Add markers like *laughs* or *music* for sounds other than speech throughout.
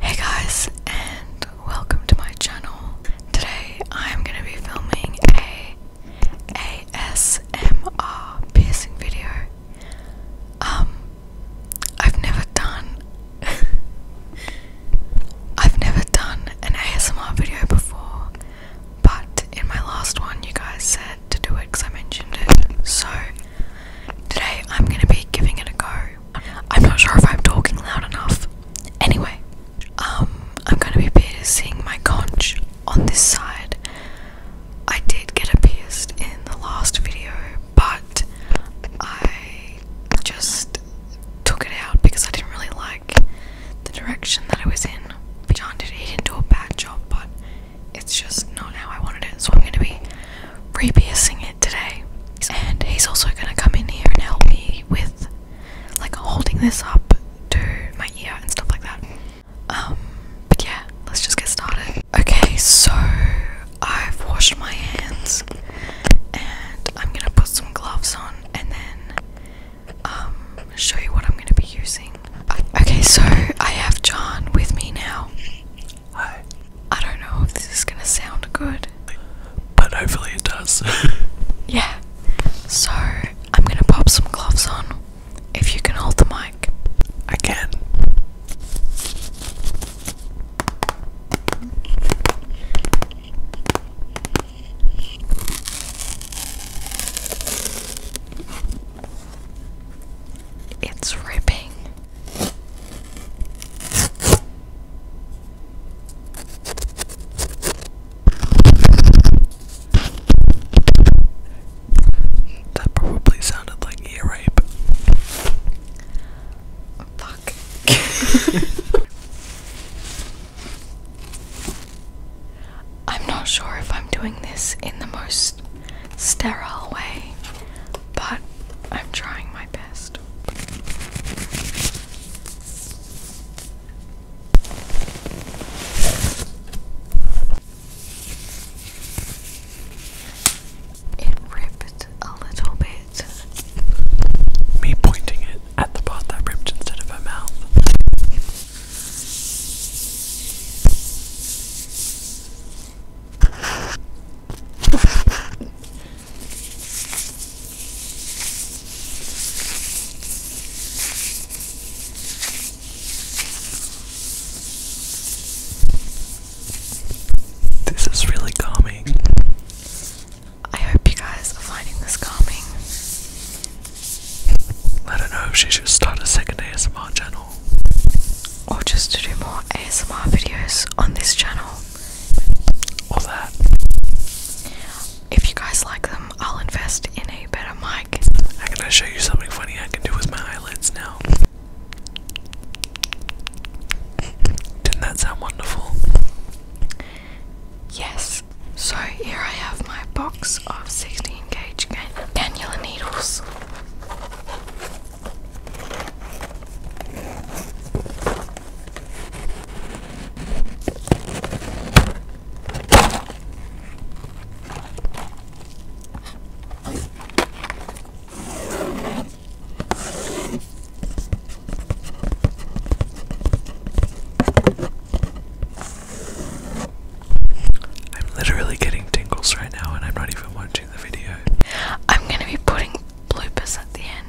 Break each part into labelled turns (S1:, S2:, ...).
S1: Hey guys and welcome to my channel. Today I'm going to be filming a ASMR piercing video. Um I've never done *laughs* I've never done an ASMR video before, but in my last one you guys said to do it cuz I mentioned it. So today I'm going to be giving it a go. I'm not sure if I'm talking loud enough. Anyway, um, I'm gonna be piercing my conch on this side. I did get a pierced in the last video, but I just took it out because I didn't really like the direction that it was in. John it, it didn't do a bad job, but it's just not how I wanted it. So I'm gonna be re-piercing it today. And he's also gonna come in here and help me with like holding this up to my ear and stuff like that. Um, but yeah, let's just get started. Okay, so I've washed my hands and I'm gonna put some gloves on and then um show you what I'm gonna be using. Uh, okay, so I have John with me now. Hi. I don't know if this is gonna sound good. But hopefully it does. *laughs* yeah. So I'm gonna pop some gloves on. If you can hold the mic. I can. It's ripping. That probably sounded like ear rape. fuck. *laughs* I'm not sure if I'm doing this in the most sterile way, but I'm trying my best. It ripped a little bit. Me pointing it at the part that ripped instead of her mouth. This is really calming. I hope you guys are finding this calming. I don't know if she should start a second ASMR channel or just to do more ASMR videos on this channel or that. If you guys like them, I'll invest in a better mic. I can show you something funny I can do with my eyelids now. Didn't that sound wonderful? Yes. So here I have my box of 16k huge cannula needles. I'm literally getting tingles right now, and I'm not even watching the video. I'm gonna be putting bloopers at the end.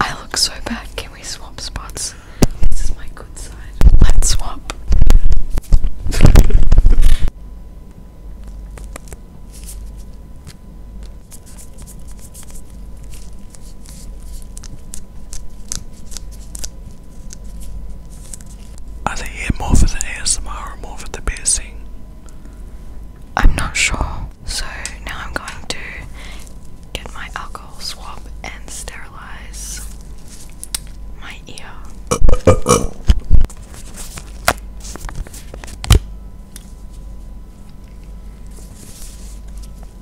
S1: I look so bad. Can we swap spots? This is my good side. Let's swap. Are they here more for the ASMR or more for the piercing? I'm not sure. So now I'm going to get my alcohol swab and sterilize my ear.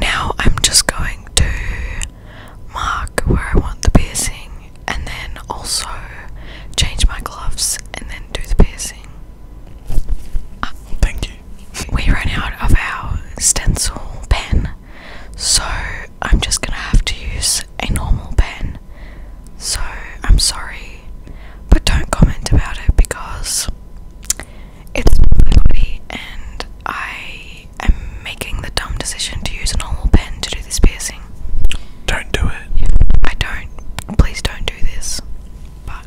S1: Now I'm just going to mark where I want the piercing and then also change my gloves and then do the piercing. Thank you. we ran out of our stencil pen, so I'm just gonna have to use a normal pen. So I'm sorry, but don't comment about it because it's blurry and I am making the dumb decision to use a normal pen to do this piercing. Don't do it. I don't. Please don't do this. But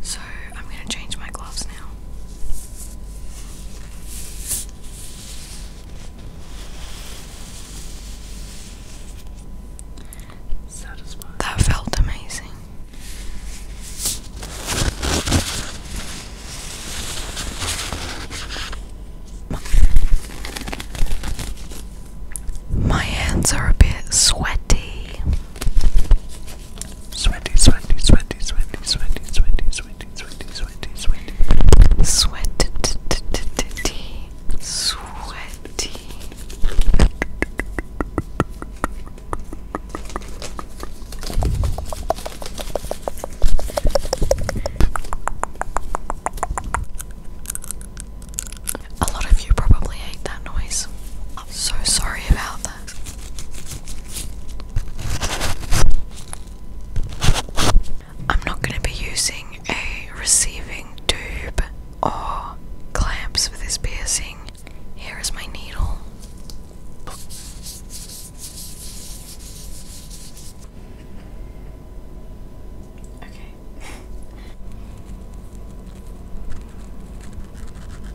S1: So, I'm going to change my gloves now. Satisfying. That felt amazing. My hands are a bit sweaty. Sweaty, sweaty, sweaty, sweaty, sweaty, sweaty, sweaty, sweating, sweating, sweating, sweating. sweaty. A lot of you probably hate that noise. I'm so sorry about that. I'm not going to be using a receiving tube or clamps for this piercing. Here is my needle. Okay.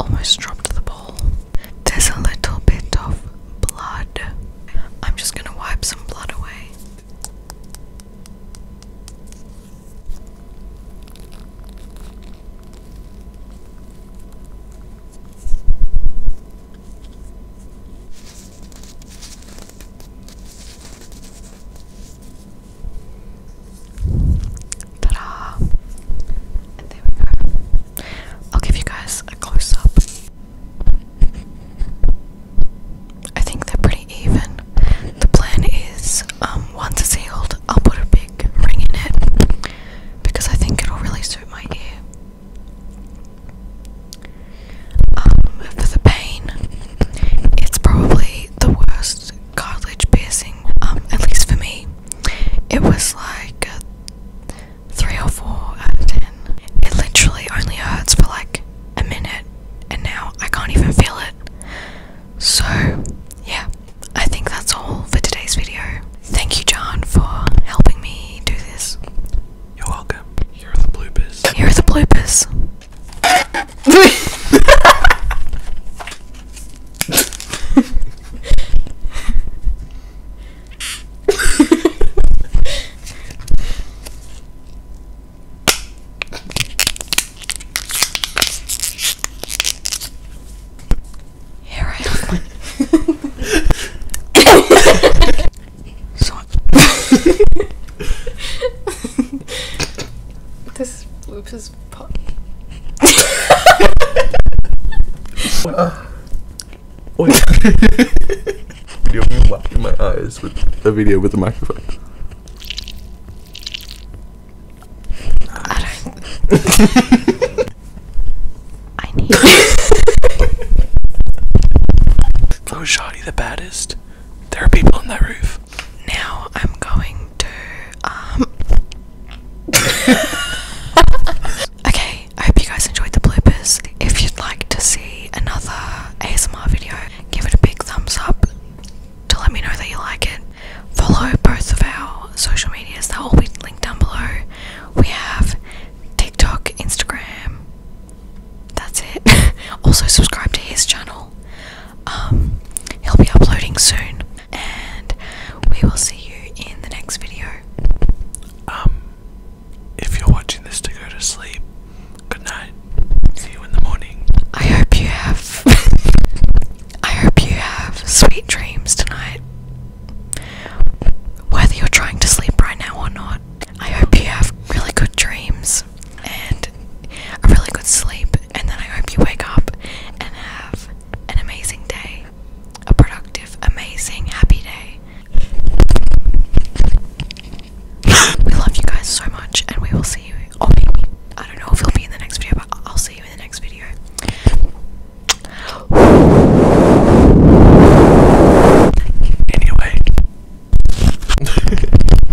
S1: Almost dropped the ball. There's a little bit of blood. I'm just gonna wipe some blood away. Ta-da! And there we go. I'll give you guys a close-up. I think they're pretty even. The plan is, um, once it's healed, I'll put a big ring in it because I think it'll really suit my ear. Um, for the pain, it's probably the worst cartilage piercing. Um, at least for me, it was like a uh, three or four out of ten. It literally only hurts for like a minute, and now I can't even feel it. So, yeah, I think that's all for today's video. Thank you, John, for helping me do this. You're welcome. Here are the bloopers. Here are the bloopers. *laughs* Here I am. so this loops is this oh! video me my eyes with a video with a microphone. I, I need. Go, Shoddy, the baddest. There are people on that roof. Now I'm going um, *laughs* okay, I hope you guys enjoyed the bloopers. If you'd like to see another ASMR video, give it a big thumbs up to let me know that you like it. Follow both of our social medias, they'll be linked down below. We have TikTok, Instagram. That's it. *laughs* also subscribe to his channel um, he'll be uploading soon, and we will see you in the next video. Um, if you're watching this to go to sleep, good night. See you in the morning. I hope you have. *laughs* I hope you have sweet dreams tonight. Whether you're trying to sleep right now or not, I hope you have really good dreams. And a really good sleep. And then I hope you wake up and have an amazing day. A productive, amazing, happy day. We love you guys so much, and we will see you. Oh, baby, I don't know if you'll be in the next video, but I'll see you in the next video. Anyway. *laughs*